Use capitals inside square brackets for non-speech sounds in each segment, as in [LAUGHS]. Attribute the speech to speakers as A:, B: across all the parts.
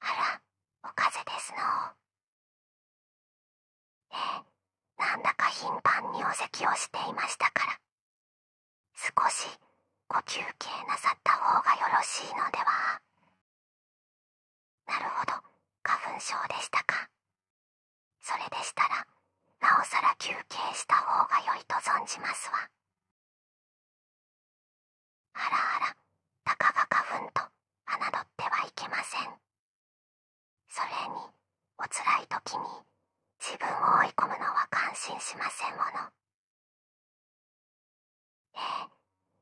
A: あらお風邪ですのええなんだか頻繁にお咳をしていましたから少しご休憩なさった方がよろしいのではなるほど花粉症でしたかそれでしたらなおさら休憩した方がよいと存じますわあらあらたかが花粉と侮ってはいけませんそれにおつらい時に自分を追い込むのは感心しませんものええ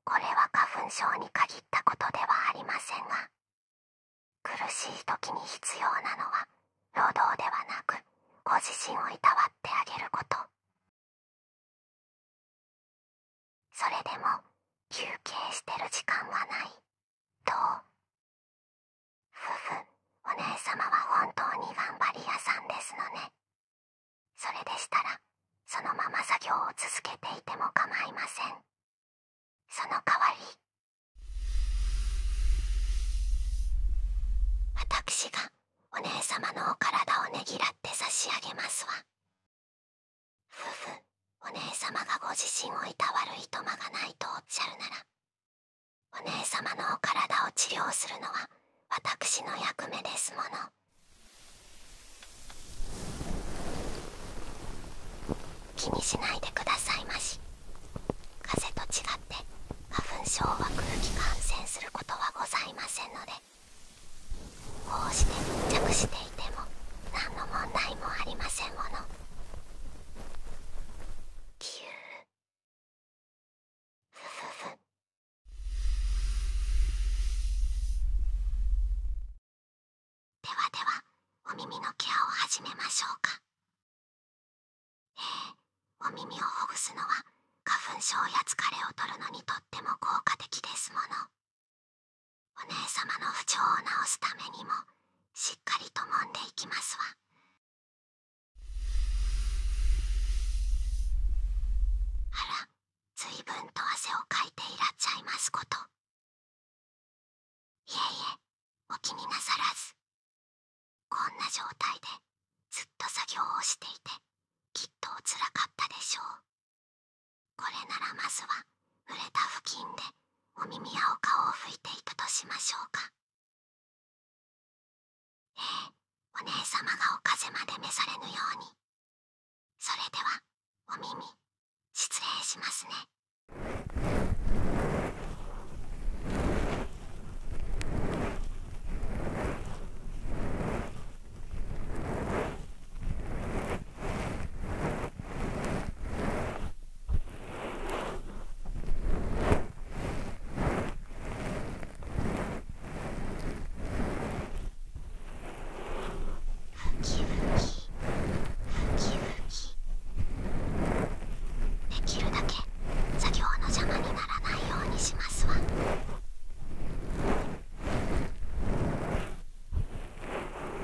A: これは花粉症に限ったことではありませんが苦しい時に必要なのは労働ではなくご自身をいたわってあげることそれでも休憩してる時間はないと。夫婦お姉様は本当に頑張り屋さんですのねそれでしたら
B: そのまま作業を続けていても構いませんその代わり私がお姉様のお体をねぎらって差し上げますわ夫婦お姉様がご自身をいたわるいとまがないとおっしゃるならお姉様のお体を治療するのは私の役目ですもの気にしないでくださいまし風と違って。花粉症は空気感染することはございませんのでこうして
A: 密着していても何の問題もありませんものキューふふふでは
B: ではお耳のケアを始めましょうか。ええ、お耳をほぐすのは花粉症や疲れを取るのにとっても効果的ですものお姉様の不調を治すためにもしっかりと揉んでいきますわ。
A: あら随分と汗をかいていらっしゃいますこといえいえお気になさらずこんな状態でずっと作業をしていてきっとおつらかったでしょうこれならまずは触れた付近でお耳やお顔を拭いていたとしましょうかええお姉さまがお風邪まで召されぬようにそれでは
B: お耳失礼しますね。きできるだけ作業の邪魔にならないようにしますわ。え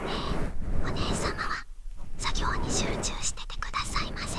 B: え、お姉様は作業に集中しててくださいませ。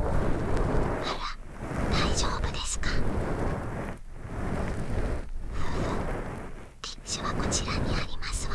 B: あら大丈夫ですかティッシュはこちらにありますわ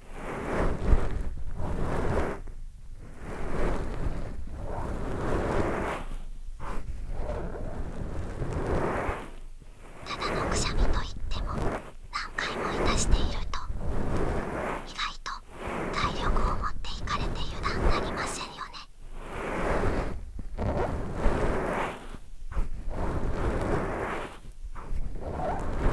B: ただのくしゃみといっても何回もいたしていると意外と体力を持っていかれて油断なりませんよね。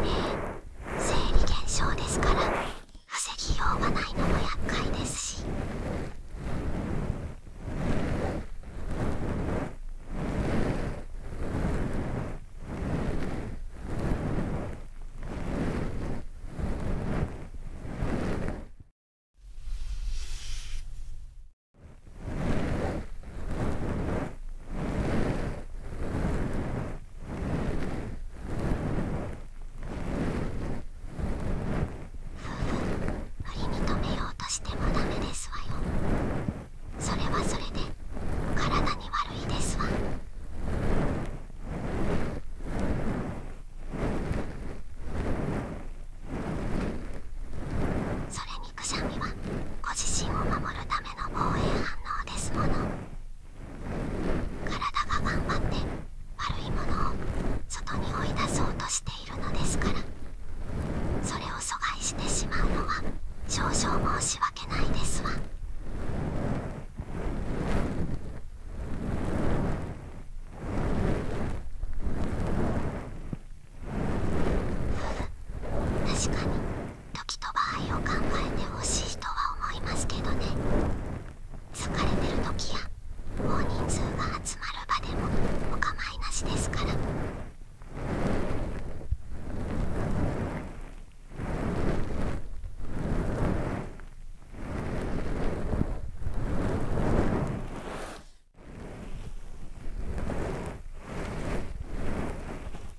B: ええ生理現象ですから。防ぎようがないのも厄介ですしふふ無理に止めようとしてもダメですわよそれはそれで体に悪いですわそれにくしゃみはご自身を守るための防衛反応ですもの。体が頑張って悪いものを外に追い出そうとしているのですからそれを阻害してしまうのは少々申し訳ないですわ。
A: 確かに時と
B: 場合を考えてほしいとは思いますけどね疲れてる時や大人数が集まる場でもお構いなしですから。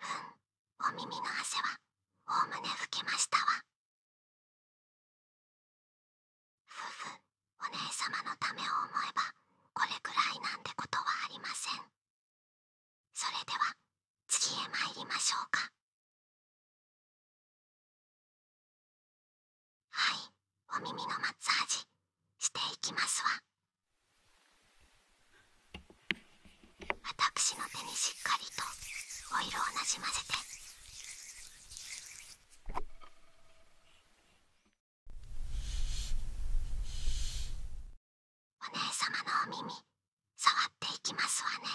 A: うんお耳の汗はおおむね拭きましたわ夫婦、お姉様のためを思えばこれくらいなんてことはありませんそれでは次へ参りましょうかはいお耳のマッサージしていきますわ
B: 私の手にしっかりとオイルをなじませてお姉様のお耳触っていきますわね。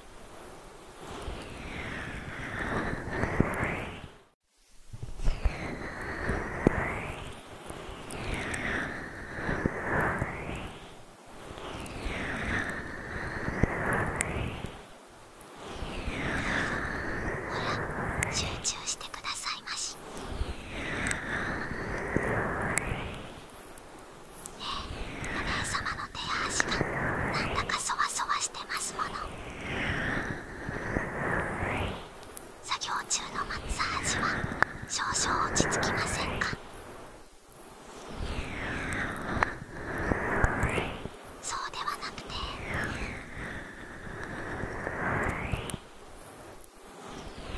B: ら集中してくださいまし。え、お姉さまの手足がなんだかそわそわしてますもの作業中のマッサージは少々落ち着きませんかそうではなくて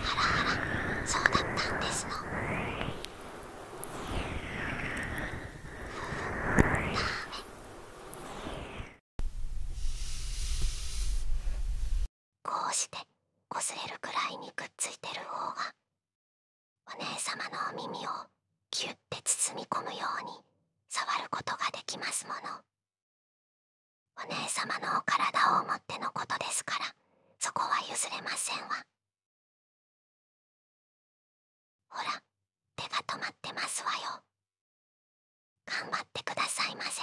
B: ハラハラそうだったんですのこうしてこすれるくらいにくっついてる方が
A: お姉まのお耳をキュッて包み込むように触ることができますものお姉まのお体をもってのことですからそこは譲れませんわほら手が止まってますわよ頑張ってくださいませ。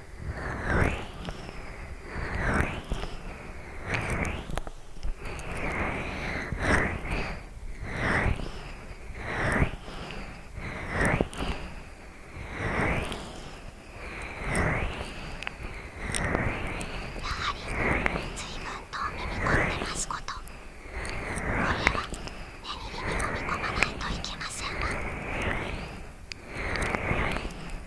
A: い。い。い。い。い。い。い。いやはりずぶん
C: 込んでますことこれは目に飲み込まないといけませんわ。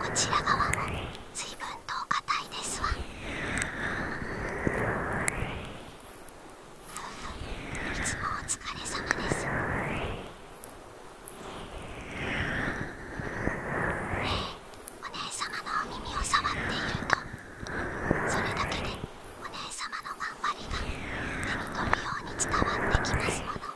B: こちら側も随分と硬いですわいつもお疲れ様ですお姉さまのお耳を触っているとそれだけでお姉さまの頑張りが手に取るように伝わってきますもの。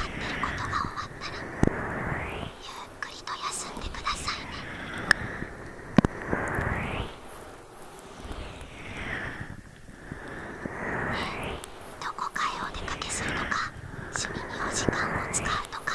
B: 今頑張っどこかへお出かけするとか趣味にお時間を使うとか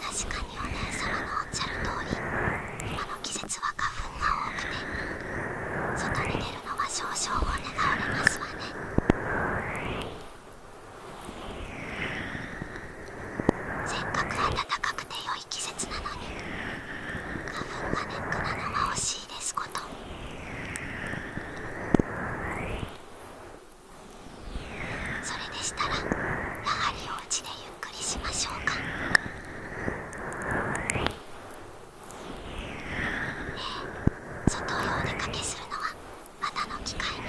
B: 確かにお姉まのおっしゃる通り今の季節は花粉が多くて外に出るのは少々お願いおりますわねせっかく暖かくて良い季節なのに花粉がネックなのは惜しいですことそれでしたらやはりお家でゆっくりしましょうか。え外をお出かけするのはまたの機会に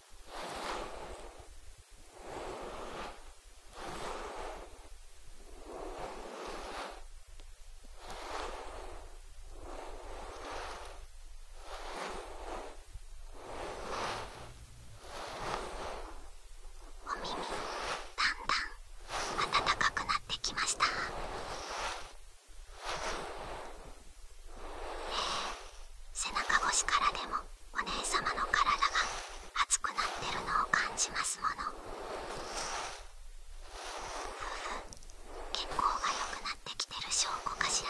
B: お耳だんだん温かくなってきました。えー、背中越しからでもお姉様の体が熱くなってるのを感じますものふふ血行が良くなってきてる証拠かしら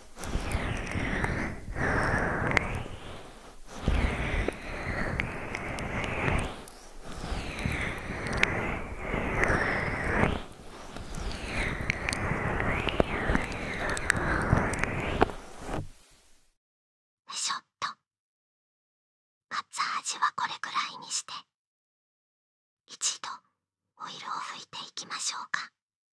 A: しょっとカッツァ味はこれくらいにして一度オイルを拭いていきましょうか。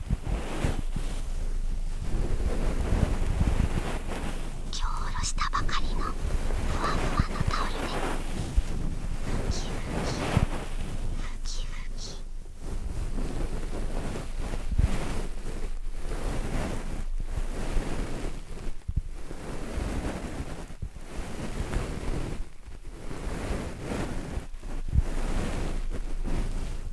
B: 今日おろしたばかりのふわふわのタオルでふきふきふきふきふ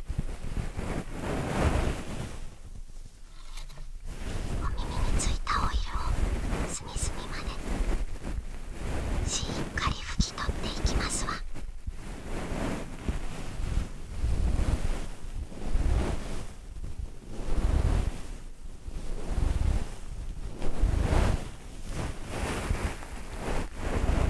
B: お耳についたオイルを隅々までしっかり拭き取っていきますわ。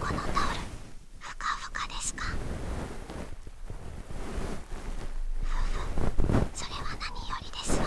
B: このタオルふかふかですかふふそれは何よりですわ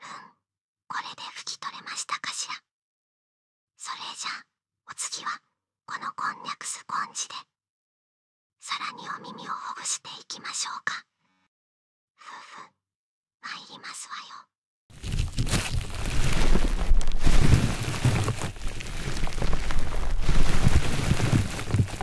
A: うんこれで拭き取れましたかしらそれじゃあお次はこのこんにゃくスポンジでさらにお耳をほぐしていきましょうかふふまいりますわよ
B: ふっ。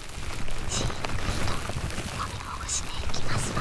B: じっくりともみほぐしていきますわ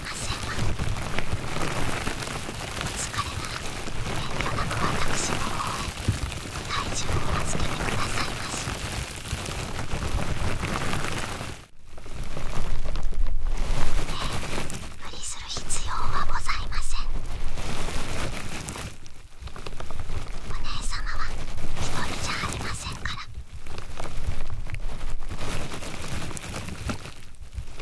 B: お疲れなら、遠慮なく私の方へ体重を預けてくださいまし無理する必要はございませんお姉様は一人じゃありませんから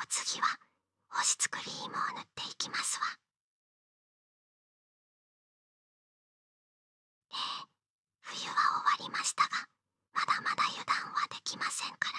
A: お次は干しクリームを塗っていきますわええ。冬は終わりましたがまだまだ油断はできませんから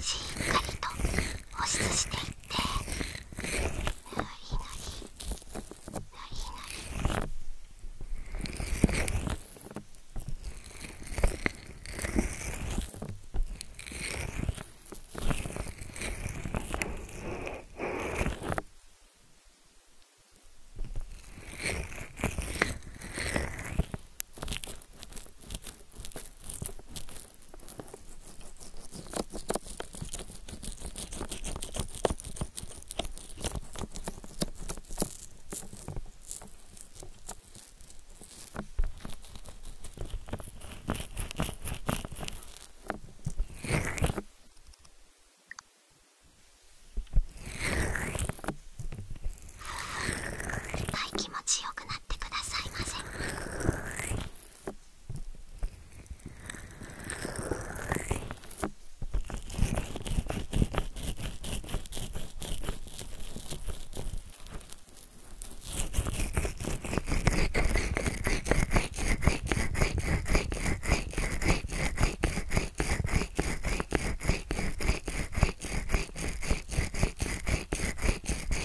B: しっかりと保湿していっていっ
A: ぱい気持ちよくなった。っくださいませ「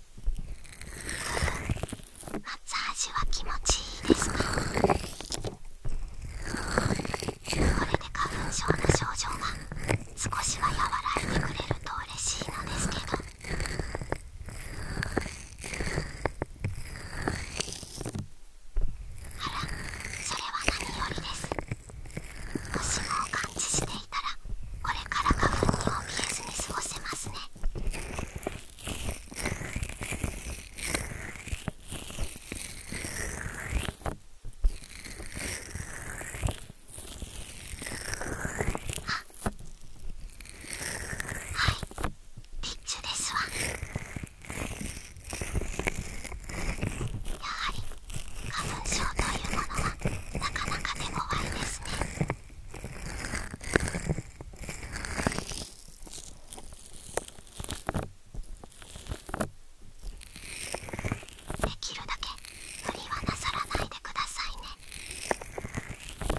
B: マッは気持ちいいですかこれで花粉症の症状が少しは和らいでくれると嬉しいのですけどあらそれは何よりですもしもお感知してこれから花粉に見ずに過ごせますねはいピッチュですわやはり花粉症というものはなかなか手ごわいですねできるだけ無理はなさらないでくださいね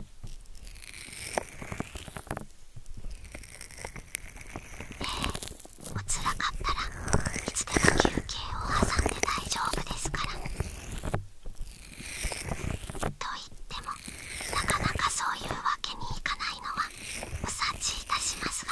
B: ええおつらかったらいつでも休憩を挟んで大丈夫ですから。といってもなかなかそういうわけにいかないのはお察しいたしますが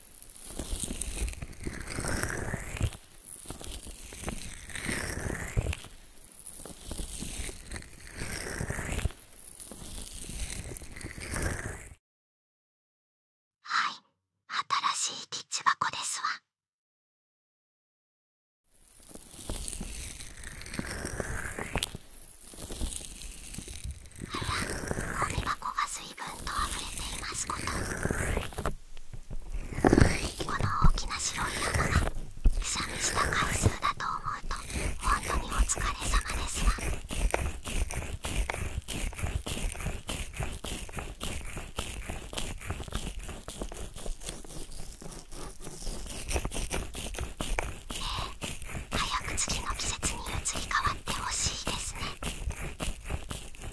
A: はい新しいキッチ箱ですわ。
B: あらゴミ箱がすい随分と溢れていますことこの大きな白い山がくしゃ回数だと思うと本当にお疲れ様ですわね早く次の季節に移り変わってほしいですね。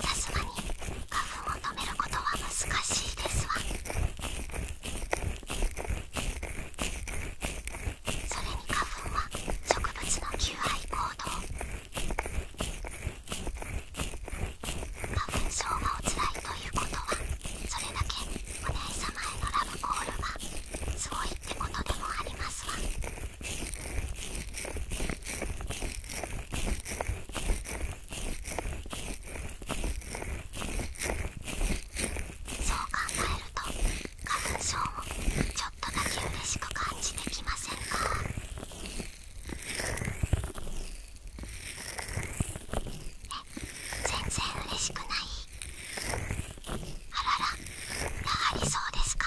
B: さすがに花粉を止めることは難しいですわそれに花粉は植物の求愛行動花粉症がおつらいということはそれだけお姉様へのラブコールがすごいってことでもありますわそう考えると花粉症もちょっとだけ嬉しく感じてきませんかえ全然嬉しくないあららやはりそうですか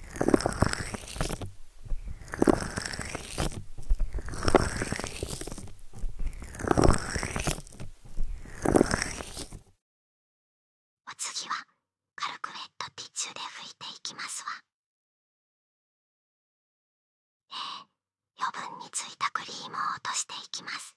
A: お次は軽くウェットティッチュで拭いていきますわええ、余分についたクリームを落としていきます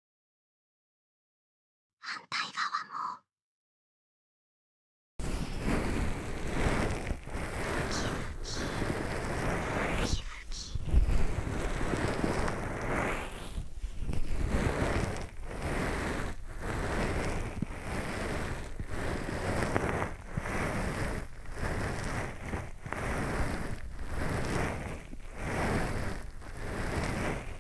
C: 反対側もふきふきふき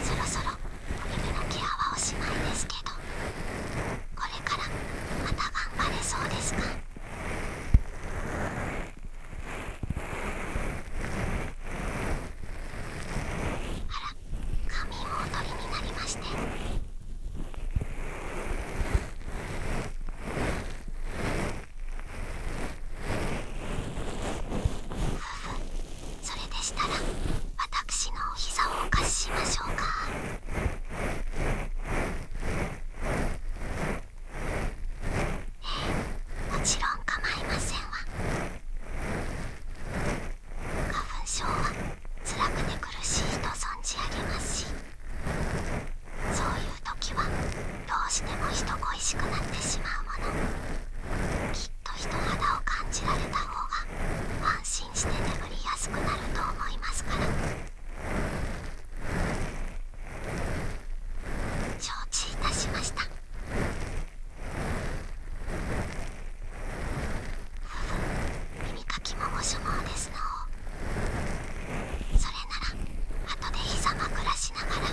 B: そろそろお耳のケアはおしまいですけどこれからまた頑張れそうですから髪もおとりになりましてふふそれでしたら私のお膝をお貸ししましょうか。えもちろん構いませんわ花粉症は辛くて苦しいと存じ上げますしそういう時はどうしても人恋しくなってしまうものきっと人肌を感じられた方が安心して眠りやすくなると思いますから。承知いたしました耳かきもご所望ですのうそれなら後で膝枕しながら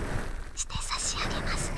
B: して差し上げますね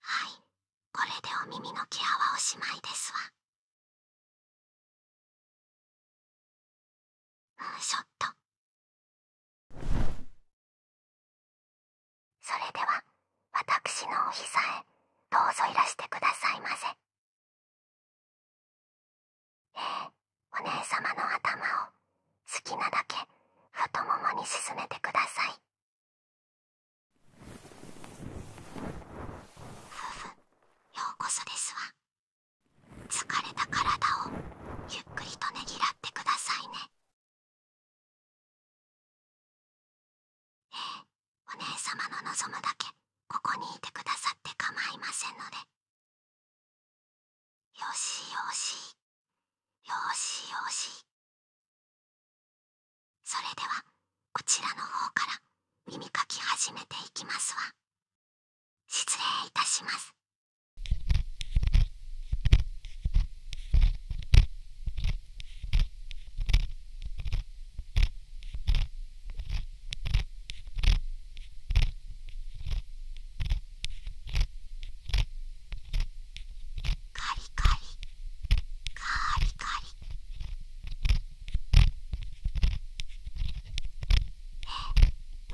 A: はいこれでお耳のケアはおしまいですわ。ショット。それでは私のお膝へどうぞいらしてくださいませええお姉様の頭を好きなだけ太ももにすすめてくださいふふ、ようこそですわ疲れた体をゆっくりとねぎらってくださいねえ、お姉様の望むだけここにいてくださって構いませんのでよしよしよしよしそれではこちらの方から耳かき始めていきますわ失礼いたしま
B: す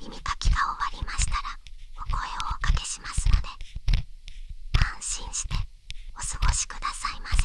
B: 耳かきが終わりましたらお声をおかけしますので安心してお過ごしくださいませ。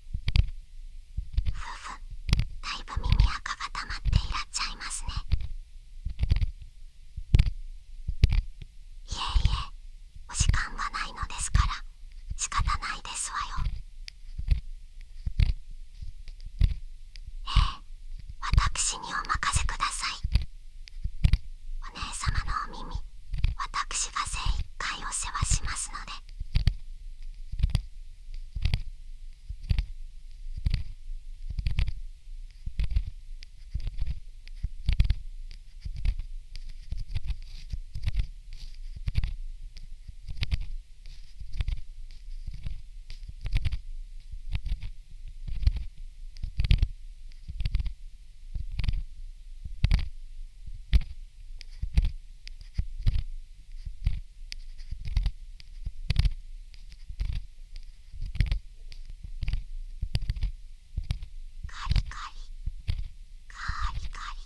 B: ふだいぶ耳垢が溜まっていらっしゃいますねいえいえお時間がないのですから仕方ないですわよええ私にお任せくださいお姉まのお耳私が精一杯お世話しますのでカリカリカリカリ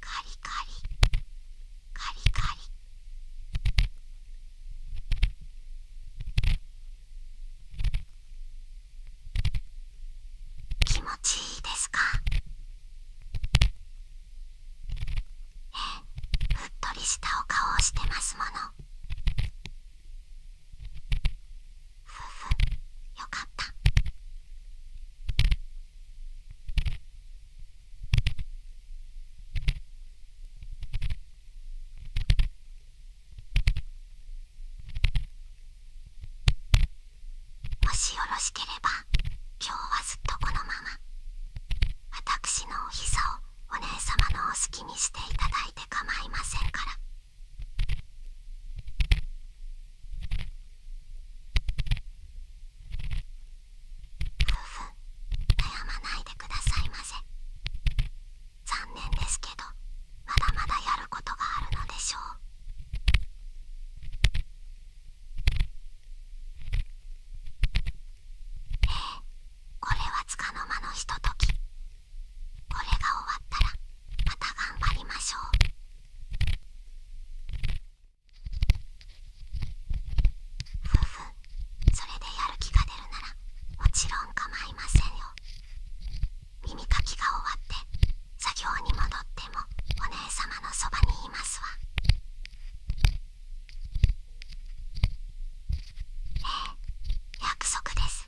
A: カリカリカリカリ気持ちいいですかええ、う
B: っとりしたお顔をしてますものふふよかったもしよろしければ今日はずっとこのまま私のお膝をお姉様のお好きにしていただいて構いませんから。夫婦悩まないでくださいませ残念ですけどまだまだやることがあるのでしょうえこれはつかの間のひとときこれが終わったらまた頑張りましょう。ふふそれでやる気が出るならもちろん構いませんよ耳かきが終わって作業に戻ってもお姉まのそばにいますわえ約束です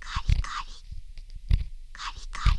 B: カリカリカリカリ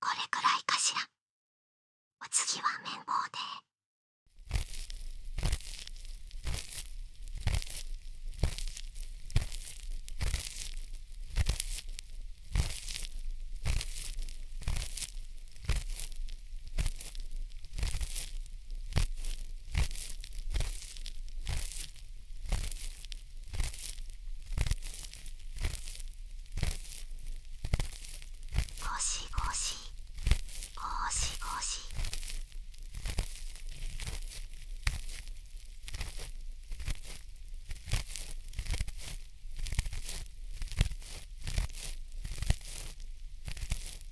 A: これくらいかしらお次は綿棒で
B: ゴシゴシゴシゴシ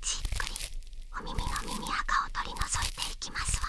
B: じっくりお耳の耳垢を取り除いていきますわ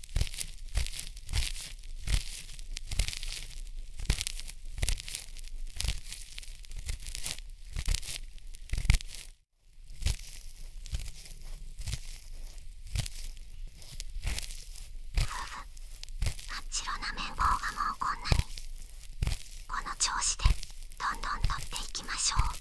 B: 真っ白な綿棒がもうこんなにこの調子でどんどん取っていきましょう。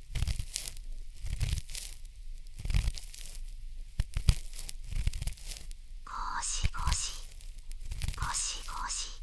B: しごしごしごし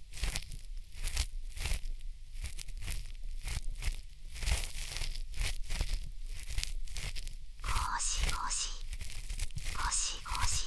B: しごしごしごし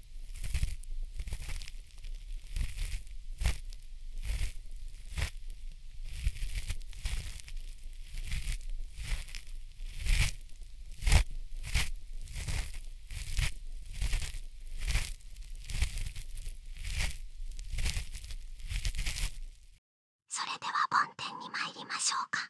B: それでは梵天に参りましょうか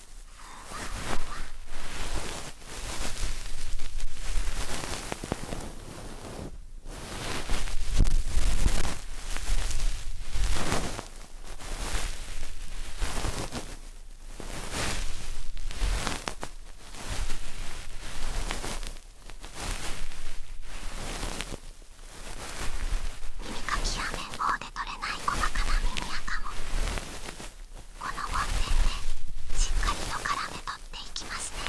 B: 耳かきや綿棒で取れない細かな耳垢もこのボンテでしっかりと絡め取っていきますねこ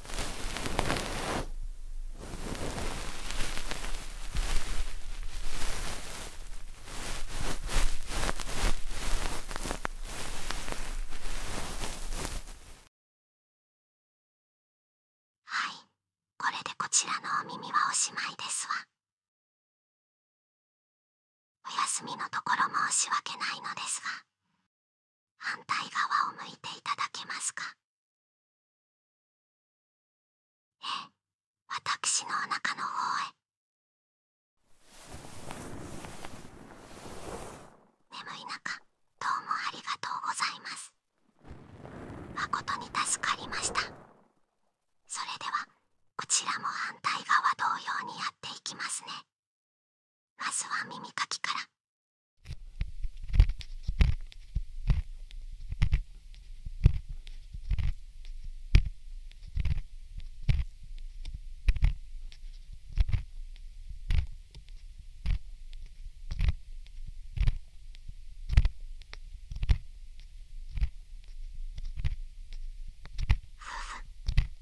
A: はいこれでこちらのお耳はおしまいですわお休みのところ申し訳ないのですが反対側を向いていただけますかええ私のお腹の方へ眠い
B: 中どうもありがとうございます誠に助かりましたそれではこちらも反対側同様にやって
A: いきますねまずは耳かきから。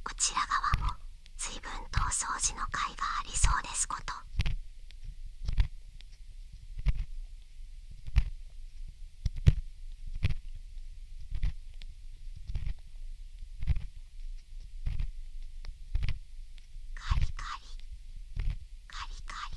B: こちら側も随分とお掃除の甲斐がありそうですこと。カリカリカリカリ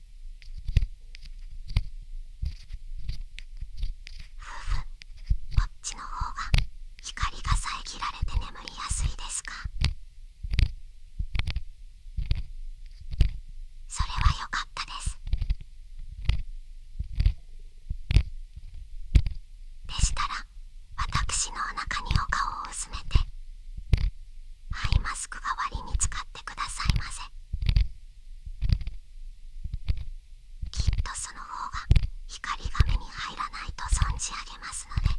B: ふこっちの方が光が遮られて眠りやすいですかそれは良かったですでしたら私のお腹にお顔を薄めてハイマスク代わりに使ってくださいませきっとその方が光が目に入らないと存じ上げますので。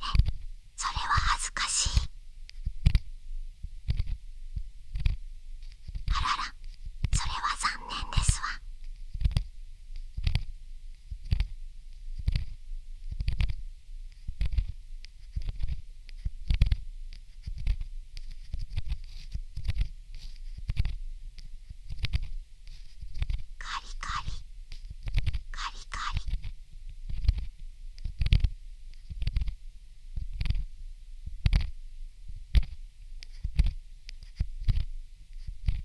B: えそれは恥ずかしいあららそれは残念ですわカリカリカリカリ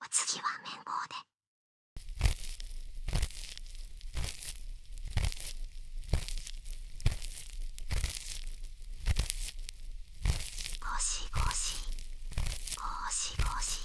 B: お次は綿棒で。ゴシゴシゴシゴシ。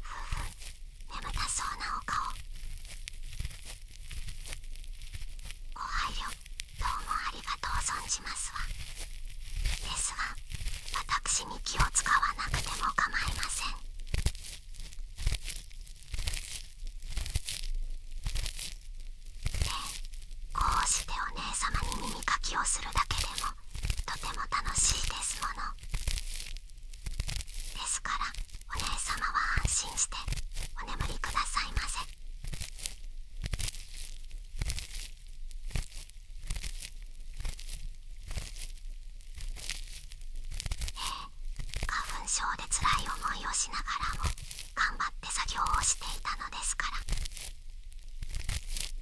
B: ふう眠たそうなお顔お配慮どうもありがとう存じますわですが私に気を使わなくても構いませんでこうしてお姉様に耳かきをするだけでもとても楽しいですものですからお姉様は安心してお眠りくださいませええ花粉症でつらい思いをしながらも頑張って作業をしていたのですから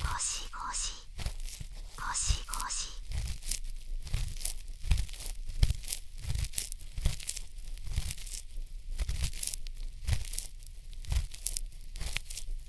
B: ゴシゴシゴシゴシゴ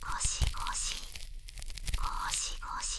B: ゴシゴシゴシゴシ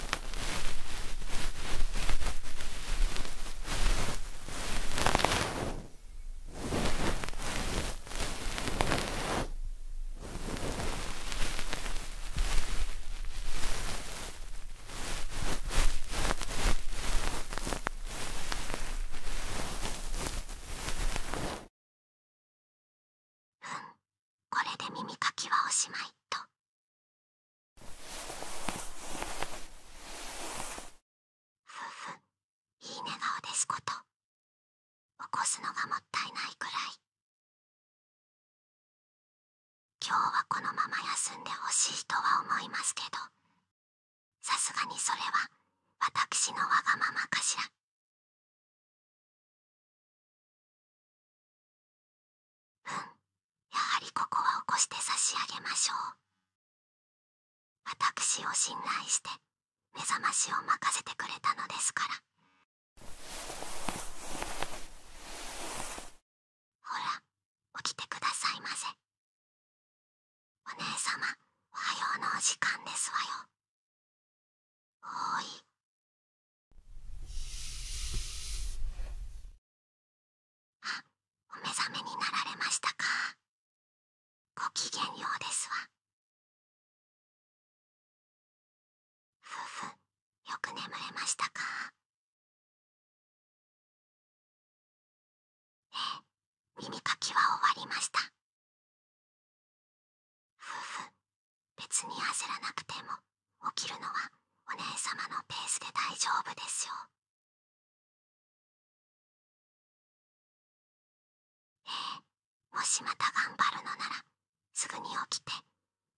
A: これで耳かきはおしまいとふんいい寝顔ですこと起こすのがもったいないくらい今日はこのまま休んでほしいとは思いますけどさすがにそれは私のわがままかしらうん、やはりここは起こして差し上げましょう
B: 私を信頼して目覚ましを任せてくれたのですからほら起きてくだ
A: さいませお姉様おはようのお時間ですわよおーいあお目覚めになられましたかごきげんようですわふふよく眠れましたかええ耳かきは終わりましたふふ別に焦らなくても起きるのはお姉様のペースで大丈夫ですよえ [LAUGHS] えもしまた頑張るのならすぐに起きて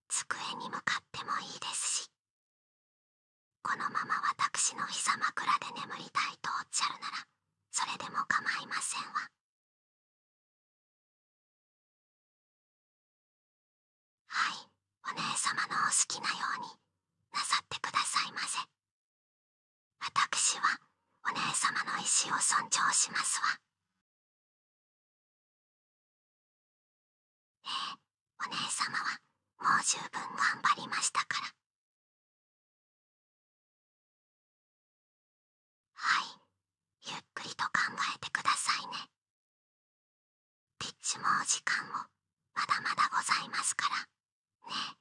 A: 机に向かってもいいですしこのまま私の膝枕で眠りたいとおっしゃるならそれでも構いませんわはいお姉様のお好きなようになさってくださいませ私はお姉様の意思を尊重しますわええお姉様はもう十分頑張りましたからはいゆっくりと考えてくださいねピッチもお時間もまだまだございますからね。